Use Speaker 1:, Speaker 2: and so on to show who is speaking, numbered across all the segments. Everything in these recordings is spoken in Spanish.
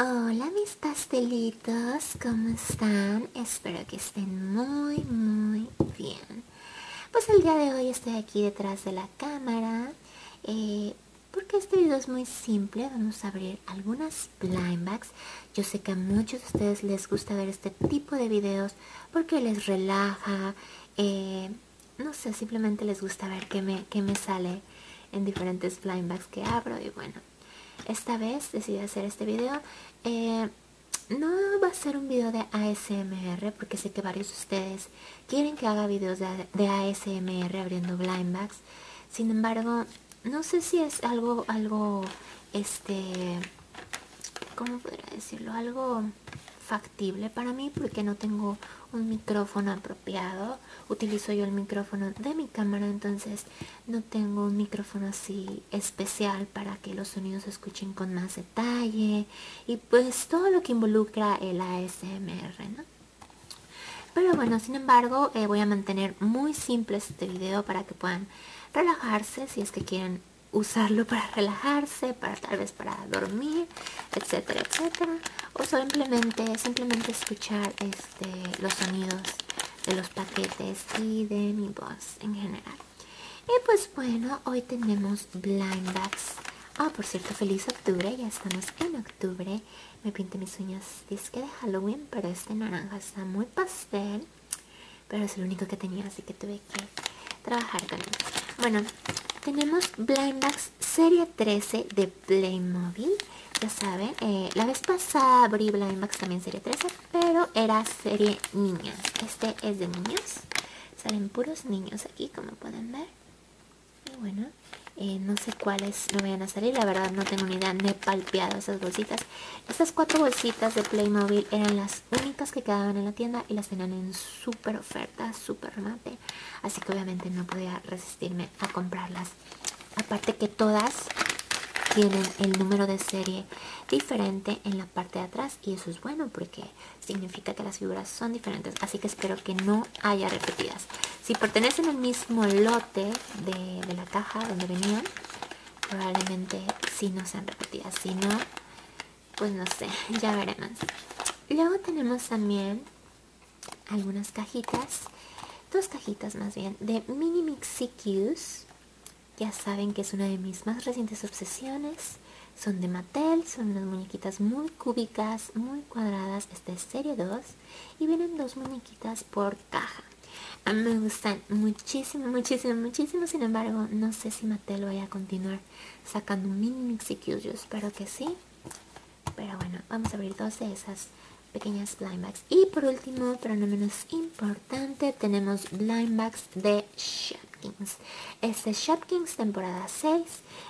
Speaker 1: Hola mis pastelitos, ¿cómo están? Espero que estén muy muy bien. Pues el día de hoy estoy aquí detrás de la cámara eh, porque este video es muy simple. Vamos a abrir algunas blind bags. Yo sé que a muchos de ustedes les gusta ver este tipo de videos porque les relaja. Eh, no sé, simplemente les gusta ver qué me, me sale en diferentes blind bags que abro y bueno, esta vez decidí hacer este video eh, no va a ser un video de ASMR porque sé que varios de ustedes quieren que haga videos de, ASMR abriendo blind bags sin embargo no sé si es algo algo este cómo podría decirlo algo factible para mí porque no tengo un micrófono apropiado utilizo yo el micrófono de mi cámara entonces no tengo un micrófono así especial para que los sonidos se escuchen con más detalle y pues todo lo que involucra el ASMR pero bueno sin embargo eh, voy a mantener muy simple este video para que puedan relajarse si es que quieren usarlo para relajarse, para tal vez para dormir, etcétera, etcétera, o simplemente simplemente escuchar este, los sonidos de los paquetes y de mi voz en general. Y pues bueno, hoy tenemos blind bags. Ah, por cierto, feliz octubre, ya estamos en octubre. Me pinté mis uñas disque de Halloween, pero este naranja está muy pastel. Pero es el único que tenía, así que tuve que trabajar con él. Bueno, tenemos blind bags serie 13 de Playmobil. Ya saben, eh, la vez pasada la Max también serie 13, pero era serie niñas, Este es de niños. Salen puros niños aquí, como pueden ver. Y bueno, eh, no sé cuáles no vayan a salir. La verdad no tengo ni idea, Me he palpeado esas bolsitas. Estas cuatro bolsitas de Playmobil eran las únicas que quedaban en la tienda y las tenían en súper oferta, súper mate. Así que obviamente no podía resistirme a comprarlas. Aparte que todas tienen el número de serie diferente en la parte de atrás y eso es bueno porque significa que las figuras son diferentes. Así que espero que no haya repetidas. Si pertenecen al mismo lote de, la caja donde venían, probablemente si no sean repetidas. Si no, pues no sé, ya veremos. Luego tenemos también algunas cajitas, dos cajitas más bien, de Mini mixicus Ya saben que es una de mis más recientes obsesiones. Son de Mattel, son unas muñequitas muy cúbicas, muy cuadradas. Esta es serie 2 y vienen dos muñequitas por caja. A mí me gustan muchísimo, muchísimo, muchísimo. Sin embargo, no sé si Mattel vaya a continuar sacando mini mixicus Yo espero que sí. Pero bueno, vamos a abrir dos de esas pequeñas blind bags. Y por último, pero no menos importante, tenemos blind bags de Shopkins. Es este Shopkins temporada 6.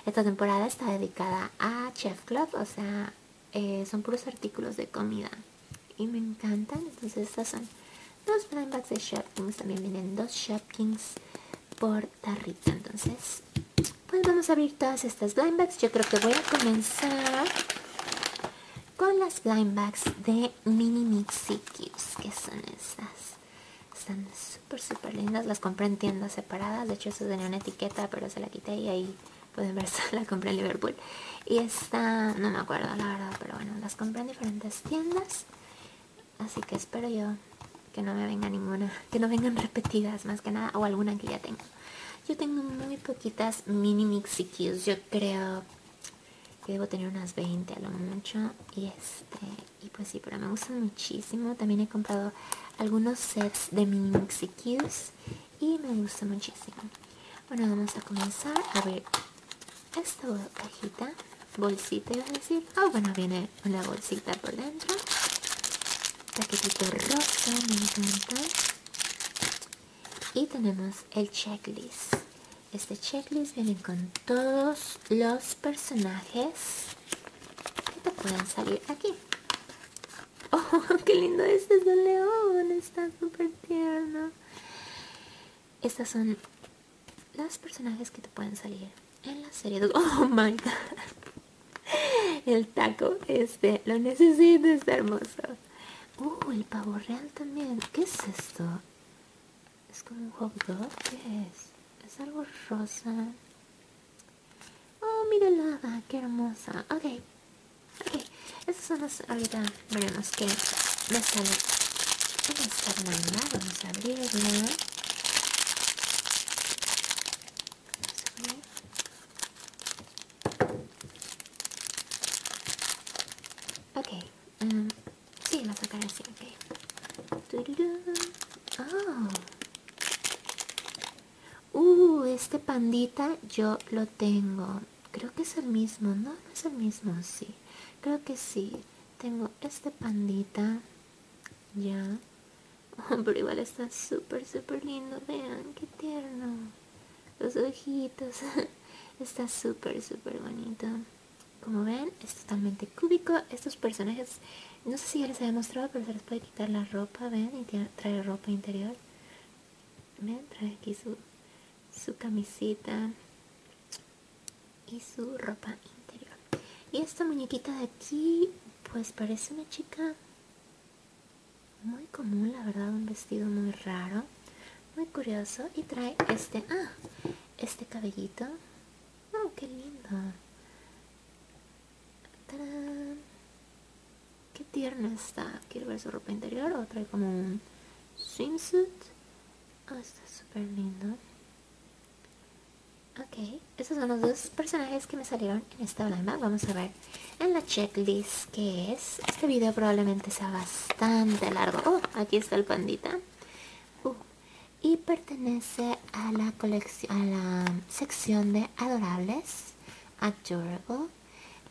Speaker 1: Esta temporada está dedicada a Chef Club, o sea, eh, son puros artículos de comida. Y me encantan, entonces estas son dos blind bags de Shopkins. También vienen dos Shopkins por tarrita, entonces pues vamos a abrir todas estas blind bags. Yo creo que voy a comenzar con las blind bags de Mini Mixi que son esas, Están súper, súper lindas. Las compré en tiendas separadas. De hecho, eso tenía una etiqueta, pero se la quité y ahí pueden ver, la compré en Liverpool. Y esta, no me acuerdo la verdad, pero bueno, las compré en diferentes tiendas. Así que espero yo que no me venga ninguna, que no vengan repetidas más que nada, o alguna que ya tengo. Yo tengo muy poquitas mini mixiquillos. Yo creo que debo tener unas 20 a lo mucho. Y este, y pues sí, pero me gustan muchísimo. También he comprado algunos sets de mini mixicus y me gusta muchísimo. Bueno, vamos a comenzar a ver esta cajita, bolsita iba a decir. Ah, bueno, viene una bolsita por dentro. Paquetito rosa, me encanta y tenemos el checklist este checklist viene con todos los personajes que te pueden salir aquí oh qué lindo este es el león está súper tierno estas son los personajes que te pueden salir en la serie de... oh my god el taco, este, lo necesito, está hermoso. Uh, el pavo real también. que es esto? ¿Es como un hot es? algo rosa? Oh, mira la que qué hermosa. Ok, ok. son las... Ahorita veremos qué me sale. Vamos Okay, em, Ok, sí, la sacaré así, ok. Oh. Uh, este pandita yo lo tengo. Creo que es el mismo, No es el mismo, sí. Creo que sí. Tengo este pandita. Ya. Pero igual está súper, súper lindo. Vean, qué tierno. Los ojitos. Está súper, súper bonito. Como ven, es totalmente cúbico. Estos personajes, no sé si ya les había mostrado, pero se les puede quitar la ropa, ven, y trae ropa interior. Ven, trae aquí su, su camisita y su ropa interior. Y esta muñequita de aquí, pues parece una chica muy común la verdad un vestido muy raro muy curioso y trae este ah, este cabellito oh, qué lindo qué tierno está quiero ver su ropa interior o trae como un swimsuit oh, está súper lindo ok estos son los dos personajes que me salieron en esta lámina vamos a ver en la checklist que es. Este vídeo probablemente sea bastante largo. Oh, aquí está el pandita. Uh, y pertenece a la colección, a la sección de adorables, adorable.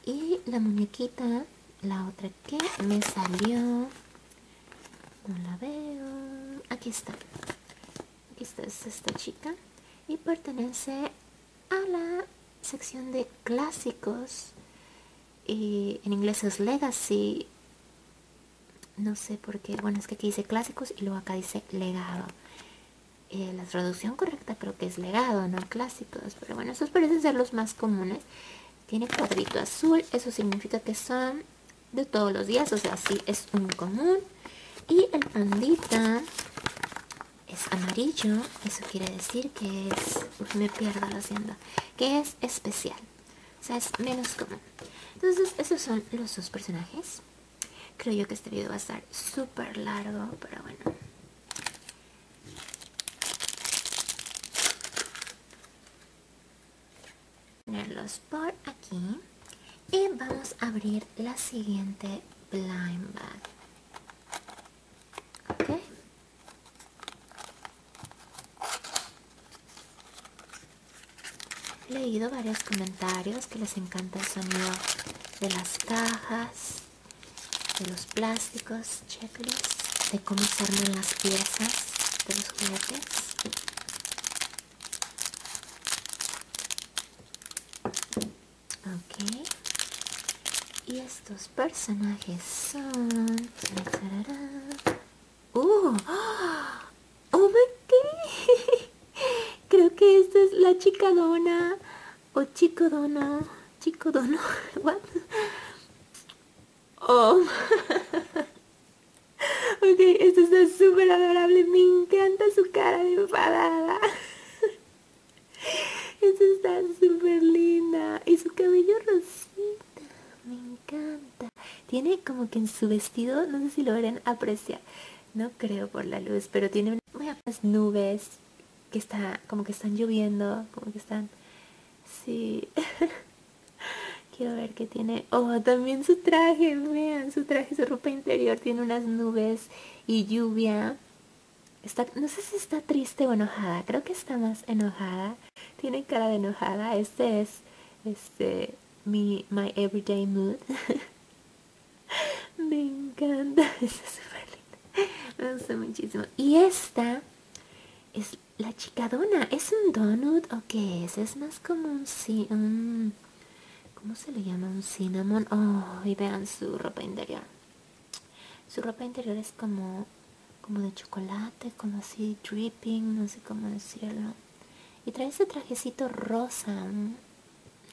Speaker 1: Y la muñequita, la otra que me salió, no la veo. Aquí está. Aquí está, es esta chica. Y pertenece a la sección de clásicos. Y en inglés es legacy. No sé por qué. Bueno, es que aquí dice clásicos y luego acá dice legado. Eh, la traducción correcta creo que es legado, no clásicos. Pero bueno, esos parecen ser los más comunes. Tiene cuadrito azul. Eso significa que son de todos los días. O sea, sí es un común. Y el andita es amarillo, eso quiere decir que es... me pierdo, lo haciendo Que es especial, o sea, es menos común. Entonces, esos son los dos personajes. Creo yo que este video va a estar súper largo, pero bueno. Ponerlos por aquí. Y vamos a abrir la siguiente blind bag. He leído varios comentarios que les encanta el sonido de las cajas, de los plásticos, checklists, de cómo se armen las piezas de los juguetes. Ok. Y estos personajes son... Uh, ¡Oh my Creo que esta es la chica dona o chico dona, chico dono, Oh, ok, esto está súper adorable, me encanta su cara de enfadada. Esa está súper linda. Y su cabello rosita. Me encanta. Tiene como que en su vestido, no sé si lo verán, aprecia. No creo por la luz, pero tiene unas nubes que está, como que están lloviendo, como que están... Sí. Quiero ver qué tiene. Oh, también su traje, vean, su traje, su ropa interior tiene unas nubes y lluvia. Está, no sé si está triste o enojada, creo que está más enojada. Tiene cara de enojada. Este es este mi my everyday mood. Me encanta. Me gusta muchísimo. Y esta es la chicadona. ¿Es un donut o qué es? Es más como un sí. ¿Cómo se le llama un cinnamon? Oh, y vean su ropa interior. Su ropa interior es como, como de chocolate, como así dripping, no sé cómo decirlo. Y trae ese trajecito rosa. No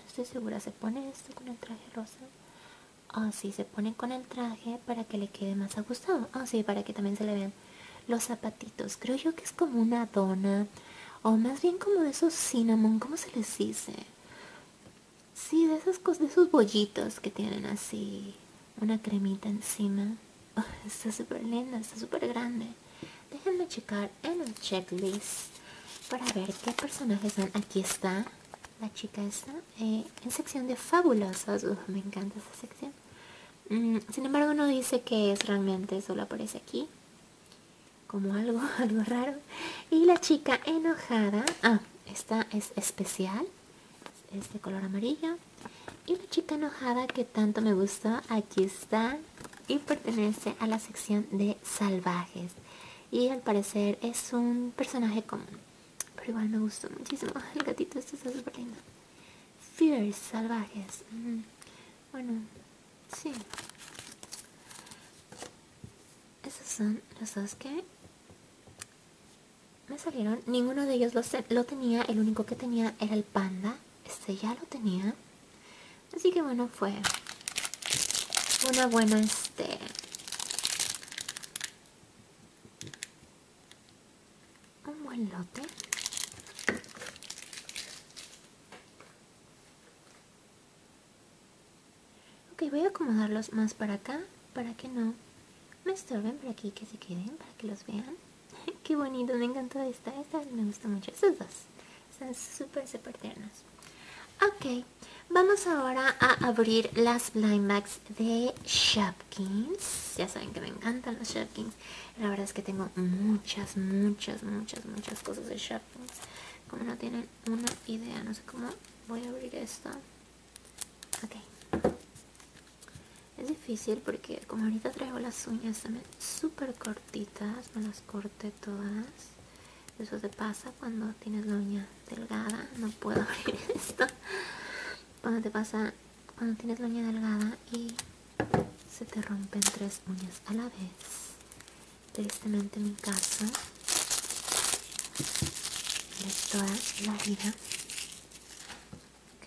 Speaker 1: estoy segura, ¿se pone esto con el traje rosa? Oh, sí, se pone con el traje para que le quede más ajustado. Oh, ah, sí, para que también se le vean los zapatitos. Creo yo que es como una dona. O más bien como de esos cinnamon, ¿cómo se les dice? Sí, de esas cosas, de esos bollitos que tienen así una cremita encima. está súper linda, está súper grande. Déjenme checar en el checklist para ver qué personajes son. Aquí está la chica está eh, en sección de fabulosos me encanta esta sección. Mm, sin embargo, no dice que es realmente, solo aparece aquí como algo, algo raro. Y la chica enojada, ah, esta es especial, es de color amarillo. Y la chica enojada que tanto me gustó, aquí está y pertenece a la sección de salvajes. Y al parecer es un personaje común, pero igual me gustó muchísimo. El gatito este está súper lindo. Fierce, salvajes. Mm. Bueno, sí. Esos son los dos que me salieron. Ninguno de ellos lo, lo tenía. El único que tenía era el panda. Este ya lo tenía. Así que bueno, fue una buena este... Un buen lote. Ok, voy a acomodarlos más para acá, para que no me estorben, por aquí que se queden, para que los vean. Qué bonito, me encantó esta, esta me gusta mucho, estas dos. Están súper, súper Ok, vamos ahora a abrir las blind de Shopkins. Ya saben que me encantan los Shopkins. La verdad es que tengo muchas, muchas, muchas, muchas cosas de Shopkins. Como no tienen una idea. No sé cómo voy a abrir esto Es difícil porque como ahorita traigo las uñas también súper cortitas. Me las corté todas. Eso te pasa cuando tienes la uña delgada. No puedo abrir esto. Cuando te pasa cuando tienes la uña delgada y se te rompen tres uñas a la vez tristemente mi casa de toda la vida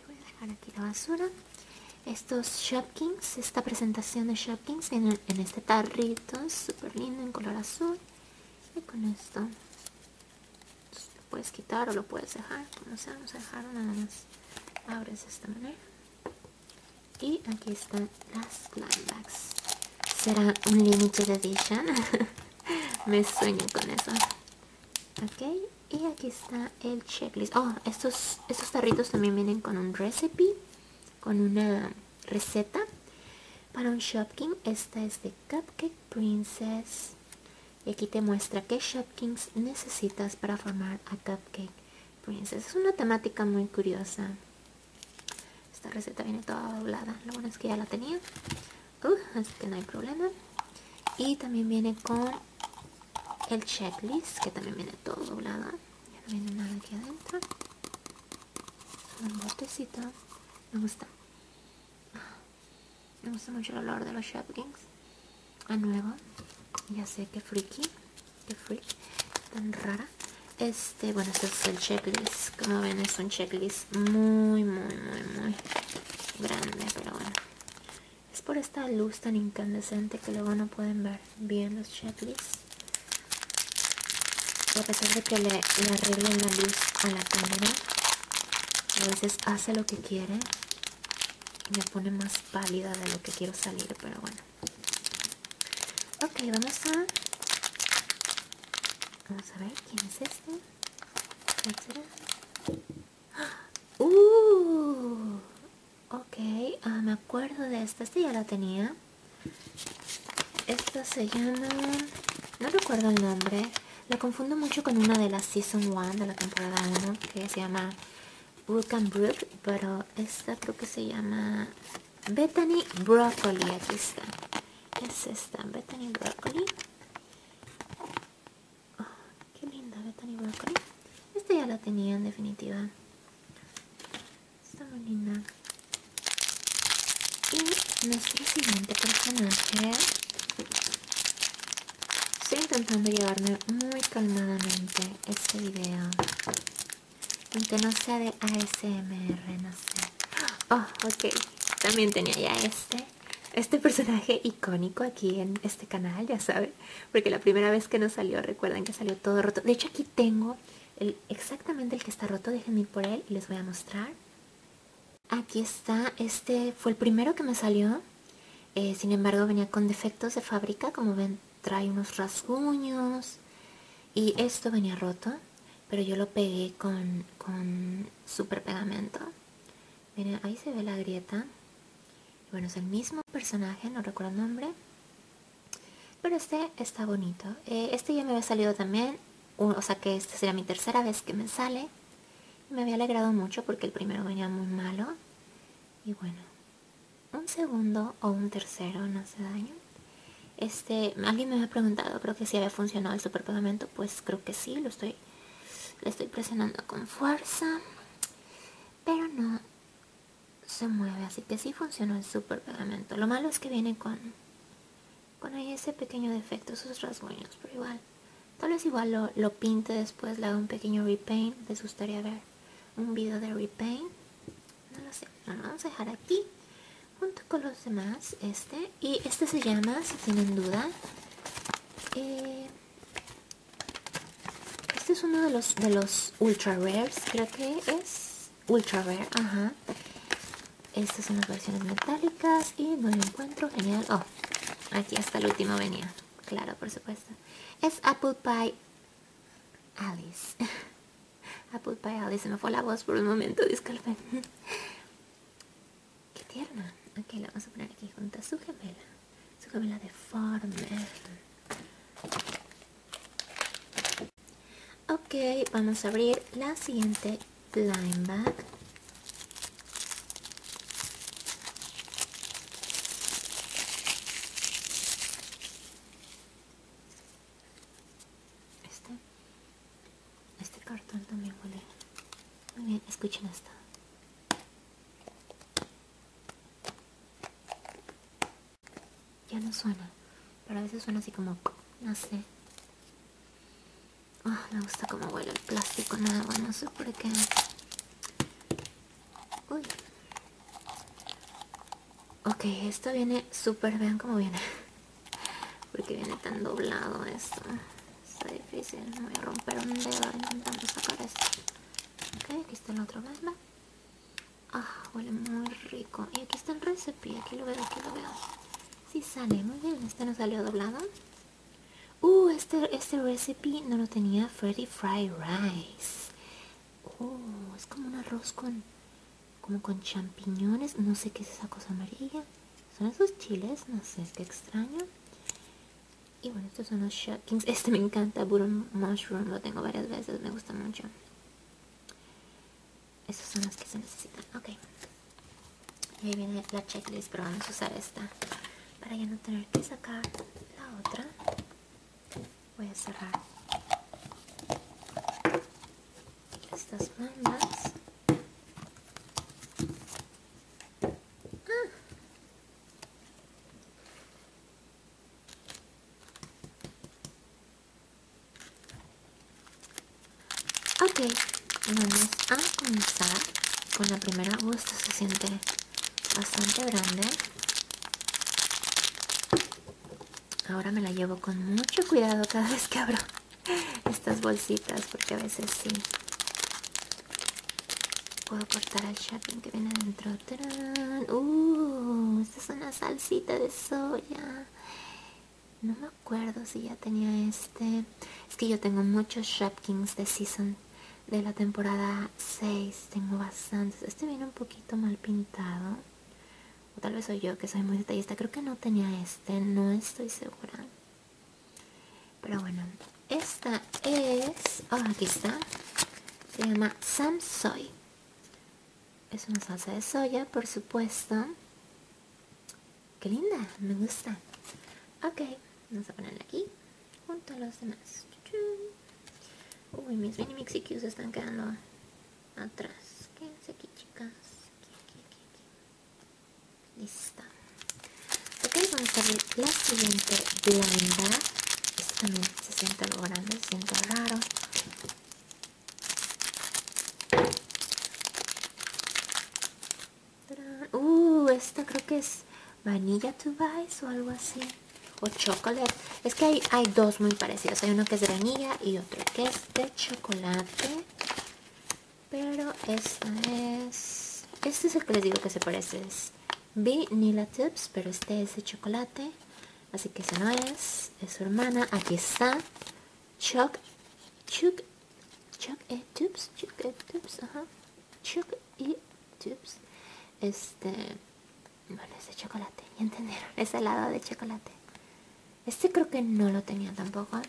Speaker 1: voy a dejar aquí la basura estos Shopkins, esta presentación de Shopkins en, en este tarrito súper lindo en color azul y con esto pues, lo puedes quitar o lo puedes dejar como sea, vamos a dejar nada más abres de esta manera y aquí están las Bags, será un limited edition me sueño con eso ok y aquí está el checklist oh estos estos tarritos también vienen con un recipe con una receta para un Shopkin. esta es de cupcake princess y aquí te muestra qué Shopkins necesitas para formar a cupcake princess es una temática muy curiosa esta receta viene toda doblada. Lo bueno es que ya la tenía. Uh, así que no hay problema. Y también viene con el checklist, que también viene todo doblada. Ya no viene nada aquí adentro. un botecito. Me gusta. Me gusta mucho el olor de los Shopkins. A nuevo. Ya sé que friki qué tan rara este bueno este es el checklist como ven es un checklist muy muy muy muy grande pero bueno es por esta luz tan incandescente que luego no pueden ver bien los checklists a pesar de que le, arreglen la luz a la cámara a veces hace lo que quiere y me pone más pálida de lo que quiero salir pero bueno Ok, vamos a... Vamos a ver quién es este. ¡Uh! Ok, ah, me acuerdo de esta. esta ya la tenía. Esta se llama... No recuerdo el nombre. La confundo mucho con una de la Season 1 de la temporada 1 que se llama Wook and pero esta creo que se llama Bethany Broccoli, aquí está. Es esta, Bethany Broccoli. Oh, qué linda Bethany Broccoli. Esta ya la tenía en definitiva. Está muy linda. Y nuestro siguiente personaje. Estoy intentando llevarme muy calmadamente este video aunque no sea de ASMR, no sé. Oh, ok. También tenía ya este. Este personaje icónico aquí en este canal, ya saben. Porque la primera vez que nos salió, recuerdan que salió todo roto. De hecho, aquí tengo el, exactamente el que está roto. Déjenme ir por él y les voy a mostrar. Aquí está. Este fue el primero que me salió. Eh, sin embargo, venía con defectos de fábrica. Como ven, trae unos rasguños y esto venía roto pero yo lo pegué con, con super pegamento miren ahí se ve la grieta bueno es el mismo personaje no recuerdo el nombre pero este está bonito eh, este ya me había salido también o sea que esta sería mi tercera vez que me sale me había alegrado mucho porque el primero venía muy malo y bueno un segundo o un tercero no hace daño este, alguien me había preguntado, creo que si había funcionado el superpegamento, pues creo que sí, lo estoy, le estoy presionando con fuerza, pero no se mueve, así que sí funcionó el superpegamento. Lo malo es que viene con, con ese pequeño defecto, esos rasguños, pero igual, tal vez igual lo, pinte después, le hago un pequeño repaint, les gustaría ver un video de repaint no lo sé vamos a dejar aquí junto con los demás este y este se llama si tienen duda eh, este es uno de los de los ultra rares creo que es ultra rare ajá estas son las versiones metálicas y no lo encuentro genial oh aquí hasta el último venía claro por supuesto es apple pie alice Apple Pie Alice, se me fue la voz por un momento, disculpen. Qué tierna. Ok, la vamos a poner aquí junto a su gemela. Su gemela Farmer Ok, vamos a abrir la siguiente blind bag. Este, este cartón también huele muy bien. Escuchen esto. Ya no suena, pero a veces suena así como, no sé. Ah, me gusta como huele el plástico bueno no sé por qué. Ok, esto viene súper, vean cómo viene. Porque viene tan doblado esto. Está difícil, no voy a romper un dedo intentando sacar esto. Ok, aquí está el otro, más. Ah, huele muy rico. Y aquí está el recipe, aquí lo veo, aquí lo veo. Si sale, muy bien. Este no salió doblado. Uh, este, este recipe no lo tenía Freddy Fry Rice. Oh, es como un arroz con como con champiñones, no sé qué es esa cosa amarilla. Son esos chiles, no sé, qué extraño. Y bueno, estos son los shockings Este me encanta, burro Mushroom, lo tengo varias veces, me gusta mucho. Estos son los que se necesitan, ok. Y ahí viene la checklist, pero vamos a usar esta para ya no tener que sacar la otra voy a cerrar estas mangas ah. ok vamos a comenzar con la primera gusta uh, se siente bastante grande Ahora me la llevo con mucho cuidado cada vez que abro estas bolsitas porque a veces sí puedo cortar el shopping que viene adentro. Uh, esta es una salsita de soya. No me acuerdo si ya tenía este. Es que yo tengo muchos sharpkins de season de la temporada 6. Tengo bastantes. Este viene un poquito mal pintado o tal vez soy yo que soy muy detallista, creo que no tenía este, no estoy segura. Pero bueno, esta es, oh, aquí está, se llama soy. Es una salsa de soya, por supuesto. Qué linda, me gusta. Ok, vamos a ponerla aquí, junto a los demás. Uy, mis mini mixicus están quedando atrás. que aquí, chicas. Aquí, Ok, vamos a ver la siguiente blanda. Esta también se siente algo grande, se siente raro. Uh, esta creo que es Vanilla to o algo así. O Chocolate es que hay, dos muy parecidos. Hay uno que es de vainilla y otro que es de chocolate. Pero esta es... Este es el que les digo que se parece. Es Vanilla Tips, pero este es de chocolate. Así que si no es. Es su hermana. Aquí está. Choc... Choc... chuck e Tips. Choc e. e. Tips. Este... Bueno, ese chocolate, ya entendieron, Ese helado de chocolate. Este creo que no lo tenía tampoco.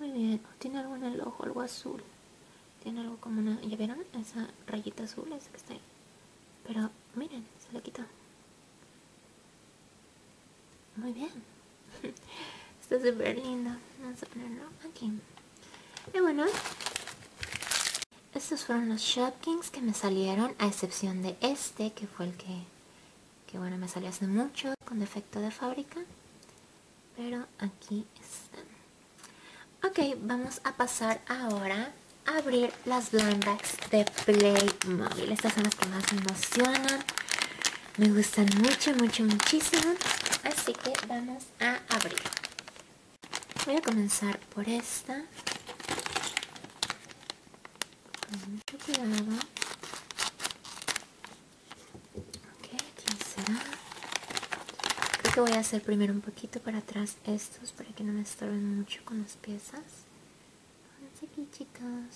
Speaker 1: Muy bien, tiene algo en el ojo, algo azul. Tiene algo como una... ¿Ya vieron? Esa rayita azul, esa que está ahí. Pero miren, se le quitó. Muy bien. Está súper lindo. Vamos a ponerlo aquí. Y bueno, estos fueron los Shopkins que me salieron, a excepción de este este, que fue el que, que bueno me salió hace mucho con defecto de fábrica pero aquí están ok vamos a pasar ahora a abrir las bags de Playmobil estas son las que más me emocionan me gustan mucho mucho muchísimo así que vamos a abrir voy a comenzar por esta con mucho ok aquí creo que voy a hacer primero un poquito para atrás estos para que no me estorben mucho con las piezas aquí chicas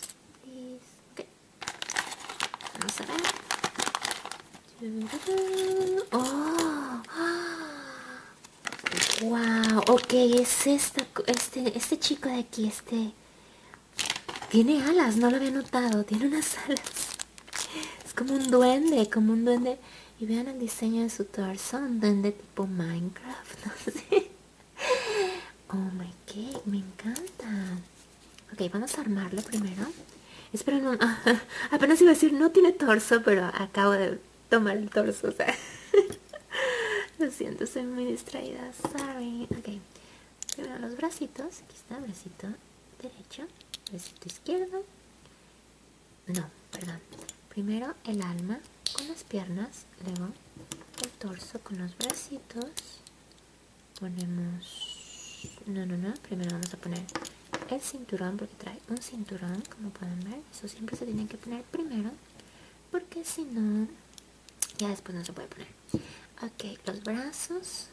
Speaker 1: vamos a ver ¡Oh! Wow, ok, es esta, este, este chico de aquí, este... Tiene alas, no lo había notado, tiene unas alas. Es como un duende, como un duende. Y vean el diseño de su torso, un duende tipo Minecraft, no sé. Oh my god, me encanta. Ok, vamos a armarlo primero. espero no, apenas iba a decir, no tiene torso, pero acabo de toma el torso, o sea. Lo siento, soy muy distraída, sorry. Ok, primero los bracitos, aquí está, bracito derecho, bracito izquierdo. No, perdón. Primero el alma con las piernas, luego el torso con los bracitos. Ponemos... No, no, no, primero vamos a poner el cinturón porque trae un cinturón, como pueden ver. Eso siempre se tiene que poner primero porque si no ya después no se puede poner ok los brazos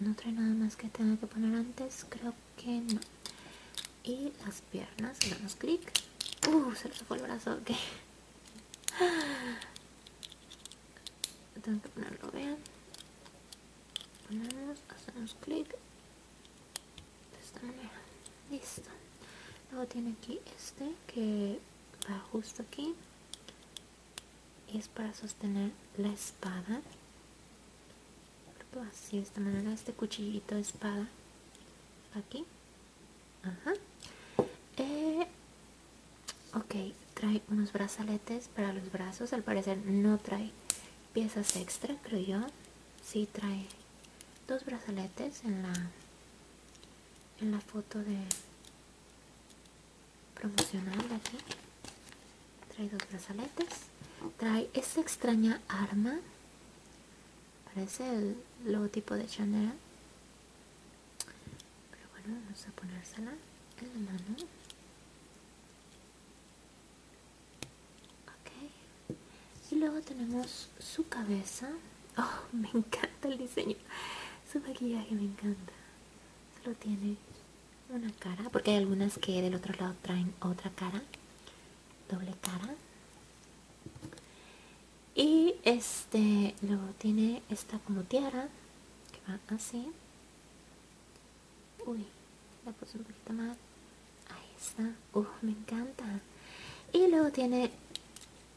Speaker 1: no trae nada más que tenga que poner antes creo que no y las piernas Hacemos clic uh se nos fue el brazo ok tengo que ponerlo vean ponemos hacemos clic de esta manera listo luego tiene aquí este que va justo aquí y es para sostener la espada así de esta manera este cuchillito de espada aquí eh, ok trae unos brazaletes para los brazos al parecer no trae piezas extra creo yo sí trae dos brazaletes en la en la foto de promocional aquí trae dos brazaletes trae esta extraña arma parece el logotipo de Chanel pero bueno vamos a ponérsela en la mano ok y luego tenemos su cabeza. Oh, me encanta el diseño. Su maquillaje me encanta. Solo tiene una cara, porque hay algunas que del otro lado traen otra cara. Doble cara. Y este, luego tiene esta como tiara, que va así. Uy, la puse un poquito Ahí está. me encanta. Y luego tiene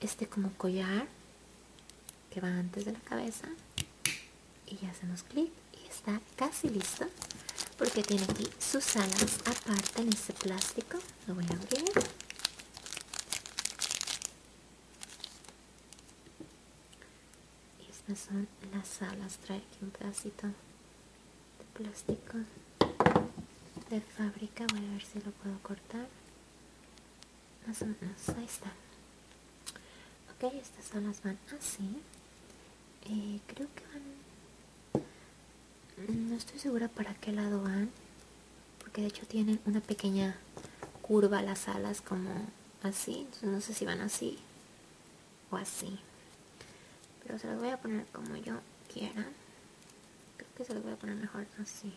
Speaker 1: este como collar que va antes de la cabeza. Y ya hacemos clic y está casi listo. Porque tiene aquí sus alas aparte en este plástico. Lo voy a abrir. estas son las alas. Trae aquí un pedacito de plástico de fábrica voy a ver si lo puedo cortar más o menos ahí está ok estas alas van así ah, eh, creo que van mm, no estoy segura para qué lado van porque de hecho tienen una pequeña curva las alas como así entonces no sé si van así o así pero se las voy a poner como yo quiera creo que se lo voy a poner mejor así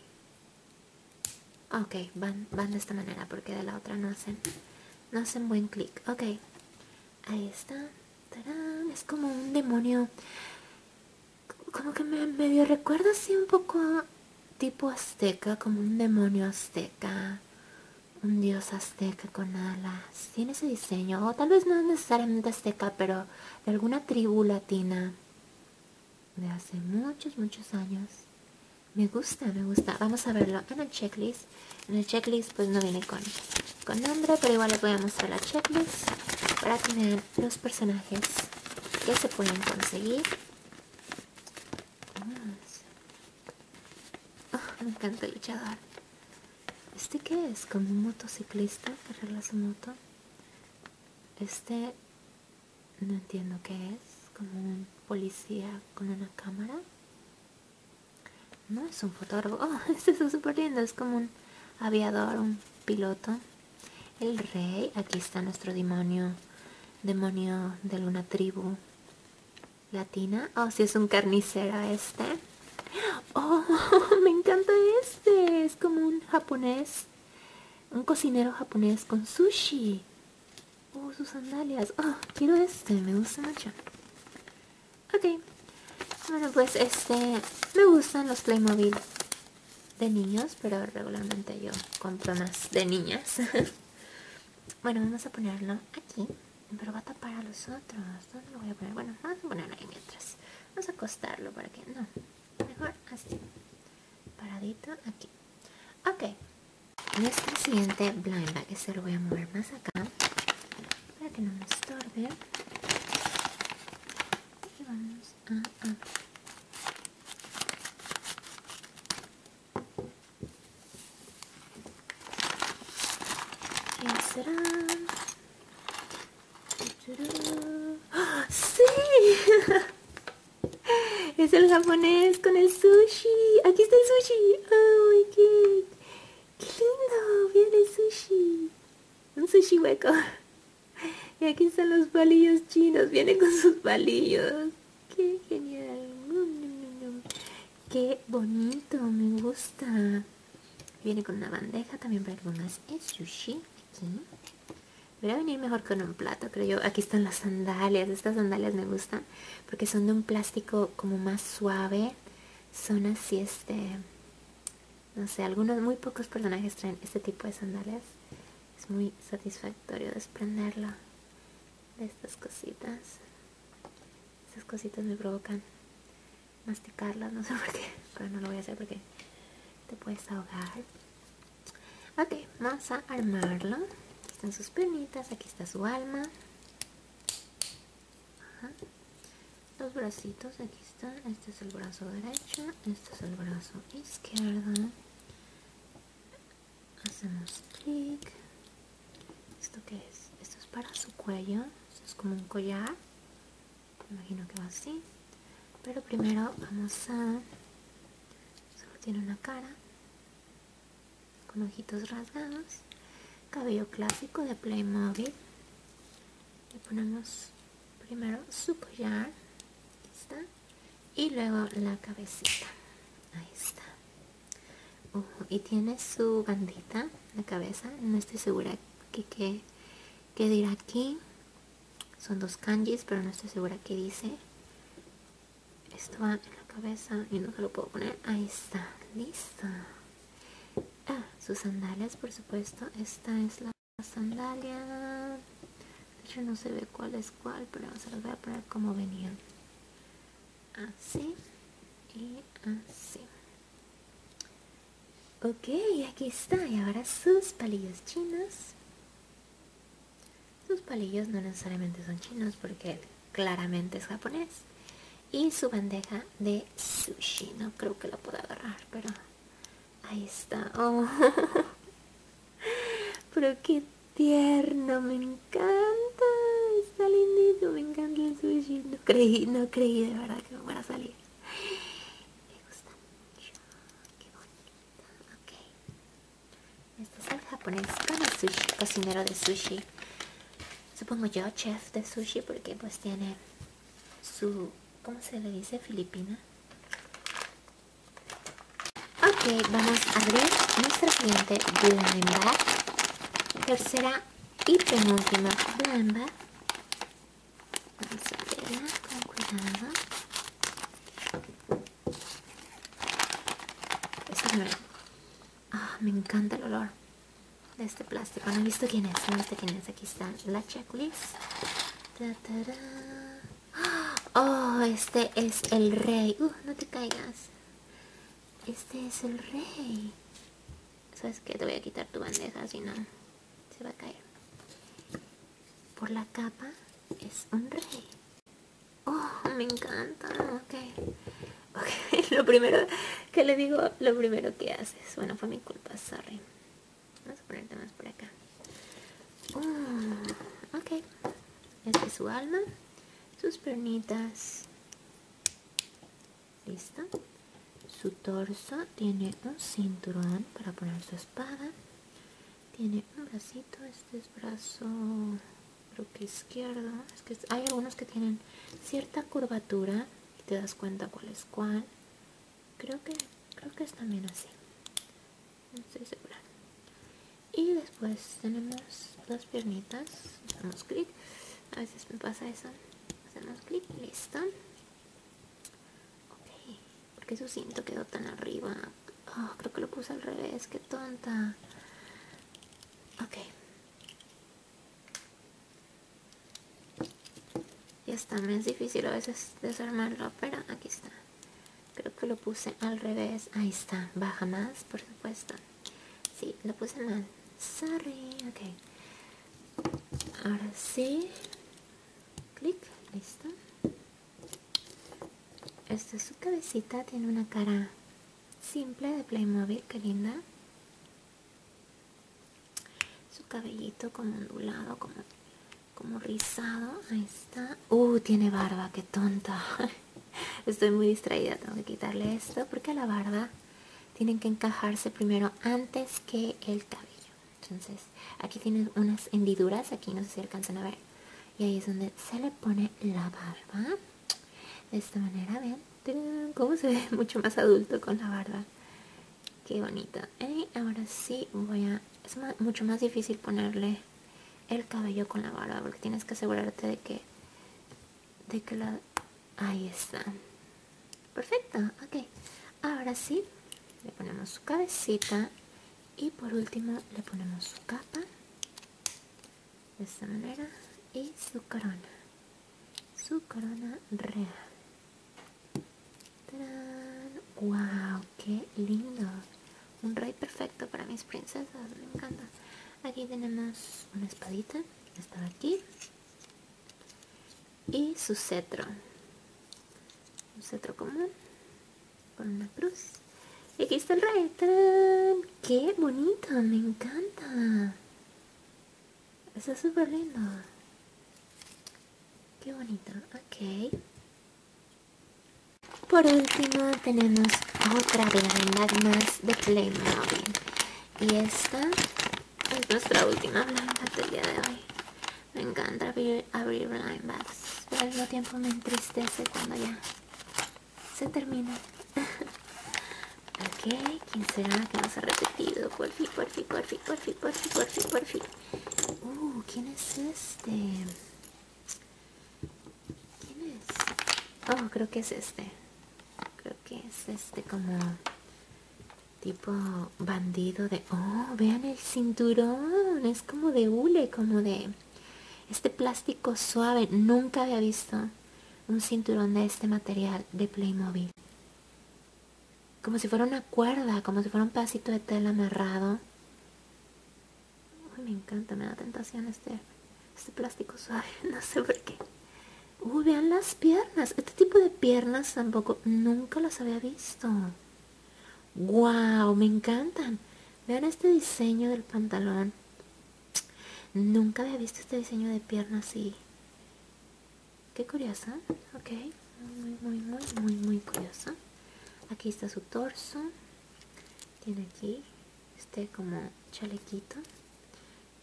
Speaker 1: ah, ok van, van de esta manera porque de la otra no hacen no hacen buen clic ok ahí está es como un demonio como que me medio recuerdo así un poco tipo azteca como un demonio azteca un dios azteca con alas tiene ese diseño o tal vez no es necesariamente azteca pero de alguna tribu latina de hace muchos, muchos años. Me gusta, me gusta. Vamos a verlo en el checklist. En el checklist pues no viene con, con nombre, pero igual les voy a mostrar la checklist para tener los personajes que se pueden conseguir. Oh, me encanta el luchador. ¿Este que es? ¿Como un motociclista que arregla su moto? Este no entiendo qué es, como un policía con una cámara. No es un fotógrafo, este es súper lindo, es como un aviador, un piloto. El rey, aquí está nuestro demonio, demonio de alguna tribu latina. o oh, si es un carnicero este. Oh, me encanta este es como un japonés, un cocinero japonés con sushi. Oh, sus sandalias. Oh, quiero este, me gusta mucho. Ok. Bueno, pues este, me gustan los Playmobil de niños, pero regularmente yo compro más de niñas. bueno, vamos a ponerlo aquí, pero va a tapar a los otros. ¿Dónde lo voy a poner? Bueno, vamos a ponerlo ahí mientras. Vamos a acostarlo para que... No, mejor así paradito aquí ok nuestro siguiente blind bag se este lo voy a mover más acá para que no me estorbe y vamos a abrir será? ¡Ah! ¡Sí! Es el japonés con el sushi. Aquí está el sushi. qué, lindo! ¡Viene el sushi. Un sushi hueco. Y aquí están los palillos chinos. Viene con sus palillos. ¡Qué genial! ¡Qué bonito! Me gusta. Viene con una bandeja también para algunas es sushi. Voy a venir mejor con un plato, creo yo. Aquí están las sandalias. Estas sandalias me gustan porque son de un plástico como más suave. Son así, este... No sé, algunos, muy pocos personajes traen este tipo de sandalias. Es muy satisfactorio desprenderlo de estas cositas. Estas cositas me provocan masticarla no sé por qué, pero no lo voy a hacer porque te puedes ahogar. Ok, vamos a armarlo. están sus piernitas, aquí está su alma. Los bracitos, aquí están. Este es el brazo derecho, este es el brazo izquierdo. Hacemos clic. ¿Esto qué es? Esto es para su cuello. es como un collar imagino que va así pero primero vamos a solo tiene una cara con ojitos rasgados cabello clásico de Playmobil le ponemos primero su collar y luego la cabecita ahí está y tiene su bandita la cabeza no estoy segura que, que que dirá aquí? Son dos kanjis, pero no estoy segura que dice. Esto va en la cabeza y no se lo puedo poner. Ahí está, lista. Ah, sus sandalias, por supuesto. Esta es la sandalia. De hecho, no se ve cuál es cuál, pero se los voy a poner como venían. Así y así. Ok, aquí está. Y ahora sus palillos chinos. Sus palillos no necesariamente son chinos porque claramente es japonés. Y su bandeja de sushi. No creo que lo pueda agarrar, pero ahí está. Oh. pero qué tierno, me encanta. Está lindito, me encanta el sushi. No creí, no creí de verdad que me fuera a salir me gusta mucho. Qué bonita. Ok. Este es el japonés cocinero de sushi. Supongo yo, chef de sushi, porque pues tiene su... ¿Cómo se le dice? Filipina. Ok, vamos a abrir nuestra siguiente blend Tercera y penúltima blend este ah, me encanta el olor de este plástico. No he visto quién es, no he quién es. Aquí está la checklist. oh, este es el rey. Uh, no te caigas. Este es el rey. ¿Sabes que Te voy a quitar tu bandeja si no se va a caer por la capa es un rey oh me encanta ok lo primero que le digo, lo primero que haces. Bueno, fue mi culpa, sorry. Vamos a ponerte más por acá. Mm, ok. Este es su alma. Sus pernitas. Listo. Su torso tiene un cinturón para poner su espada. Tiene un bracito, este es brazo creo que izquierdo. Es que hay algunos que tienen cierta curvatura y te das cuenta cuál es cuál. Creo que, creo que es también así. No estoy segura. Y después tenemos las piernitas. Hacemos clic. A veces me pasa eso. Hacemos clic. Listo. Ok, porque su cinto quedó tan arriba. Ah, creo que lo puse al revés, qué tonta. Ok. Ya está, me es difícil a veces desarmarlo, pero aquí está. Creo que lo puse al revés. Ahí está, baja más, por supuesto. Sí, lo puse mal. Sorry, ok. Ahora sí clic, listo. Esta es su cabecita, tiene una cara simple de Playmobil, que linda. Su cabellito como ondulado, como, como rizado, ahí está. Uh, tiene barba, que tonta. Estoy muy distraída, tengo que quitarle esto porque la barba tiene que encajarse primero antes que el cabello. Entonces aquí tiene unas hendiduras, aquí no sé si alcanzan a ver. Y ahí es donde se le pone la barba. De esta manera, vean cómo se ve mucho más adulto con la barba. Qué bonito. Y ¿eh? ahora sí voy a... Es mucho más difícil ponerle el cabello con la barba porque tienes que asegurarte de que... De que la... Ahí está perfecto ok ahora sí le ponemos su cabecita y por último le ponemos su capa de esta manera y su corona su corona real wow qué lindo un rey perfecto para mis princesas me encanta aquí tenemos una espadita está aquí y su cetro un cetro común con una cruz y aquí está el rey que qué bonito me encanta está súper lindo qué bonito ok por último tenemos otra las más de Playmobil y esta es nuestra última blanda del día de hoy me encanta abrir, Blind linebacks, pero al mismo tiempo me entristece cuando ya se termina. ok, ¿quién será que nos ha repetido? Por fin, por fin, por fin, por fin, por fin, por fin, Uh, ¿quién es este? ¿Quién es? Oh, creo que es este. Creo que es este como tipo bandido de oh vean el cinturón es como de hule como de este plástico suave nunca había visto un cinturón de este material de Playmobil como si fuera una cuerda como si fuera un pedacito de tela amarrado me encanta me da tentación este este plástico suave no sé por qué uy uh, vean las piernas este tipo de piernas tampoco, nunca las había visto. ¡Wow! Me encantan. Vean este diseño del pantalón. Nunca había visto este diseño de piernas así. Qué curiosa. Ok. Muy, muy, muy, muy, muy curiosa. Aquí está su torso. Tiene aquí este como chalequito.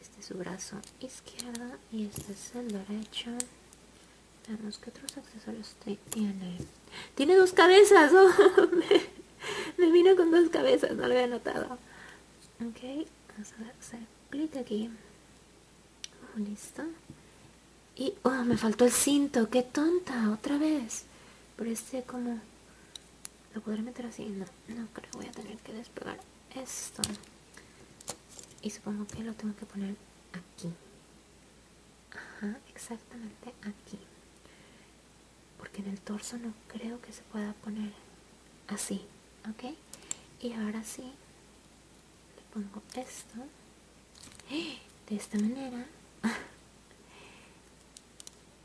Speaker 1: Este es su brazo izquierdo y este es el derecho qué otros accesorios tiene. Tiene dos cabezas. me, vino con dos cabezas, no lo había notado. Ok, vamos a ver, se clic aquí. Oh, listo. Y, oh, me faltó el cinto. Qué tonta, otra vez. Pero este como... ¿Lo podré meter así? No, no creo. Voy a tener que despegar esto y supongo que lo tengo que poner aquí exactamente aquí porque en el torso no creo que se pueda poner así ok y ahora sí le pongo esto de esta manera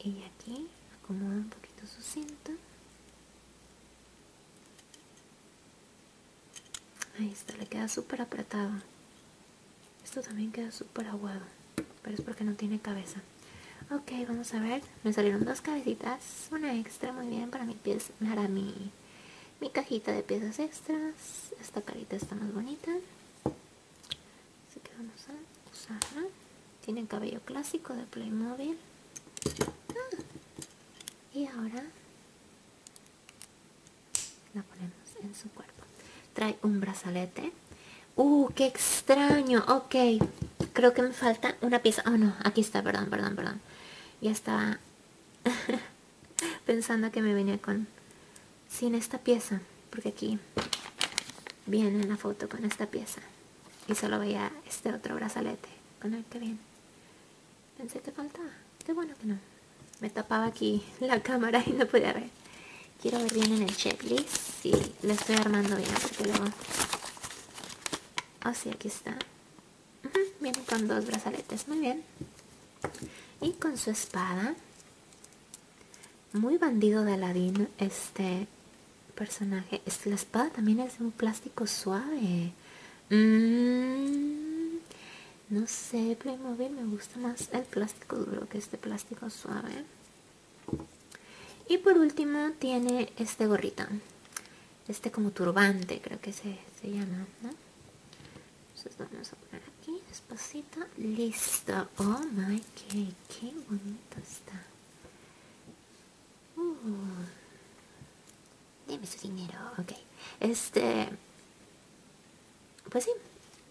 Speaker 1: y aquí acomoda un poquito su cinta Ahí está, le queda súper apretado. Esto también queda súper aguado, pero es porque no tiene cabeza. Ok, vamos a ver. Me salieron dos cabecitas, una extra, muy bien, para mi pieza, para mi, mi cajita de piezas extras. Esta carita está más bonita. Así que vamos a usarla. Tiene cabello clásico de Playmobil. Ah, y ahora la ponemos en su cuerpo trae un brazalete uh qué extraño ok creo que me falta una pieza oh no aquí está perdón perdón perdón ya estaba pensando que me venía con sin esta pieza porque aquí viene la foto con esta pieza y solo veía este otro brazalete con el que viene Pensé que faltaba. Qué bueno que no. Me tapaba aquí la cámara y no podía ver. Quiero ver bien en el checklist. si le estoy armando bien porque luego... Ah, sí, aquí está. Viene con dos brazaletes. Muy bien. Y con su espada. Muy bandido de Aladín este personaje. La espada también es de un plástico suave. Mm, no sé, Playmobil me gusta más el plástico duro que este plástico suave. Y por último tiene este gorrito. Este como turbante creo que se, se llama, vamos a poner aquí despacito. Listo. Oh my god, qué bonito está. Uh. Deme su dinero, Este. Pues sí,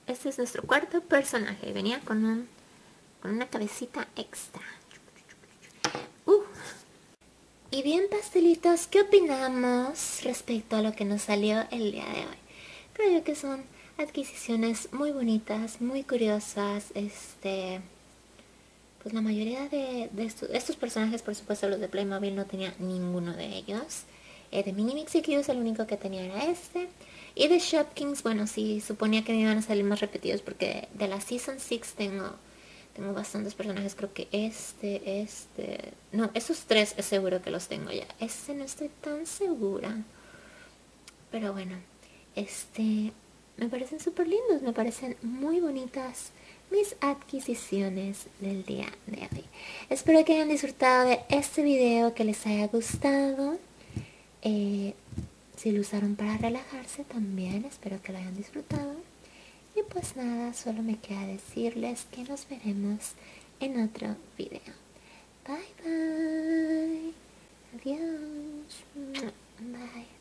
Speaker 1: este es nuestro cuarto personaje. Venía con un. con una cabecita extra. Uh. Y bien, pastelitos, ¿qué opinamos respecto a lo que nos salió el día de hoy? Creo yo que son adquisiciones muy bonitas, muy curiosas, este pues la mayoría de, estos, personajes por supuesto los de Playmobil no tenía ninguno de ellos. Eh, de Mini Mixie Q el único que tenía era este. Y de Shopkins, bueno, sí, suponía que me iban a salir más repetidos porque de la Season 6 tengo, tengo bastantes personajes. Creo que este, este... No, esos tres es seguro que los tengo ya. Este no estoy tan segura. Pero bueno, este... Me parecen súper lindos, me parecen muy bonitas mis adquisiciones del día de hoy. Espero que hayan disfrutado de este video, que les haya gustado. Eh, si lo usaron para relajarse también, espero que lo hayan disfrutado. Y pues nada, solo me queda decirles que nos veremos en otro video. Bye bye. Adiós. Bye.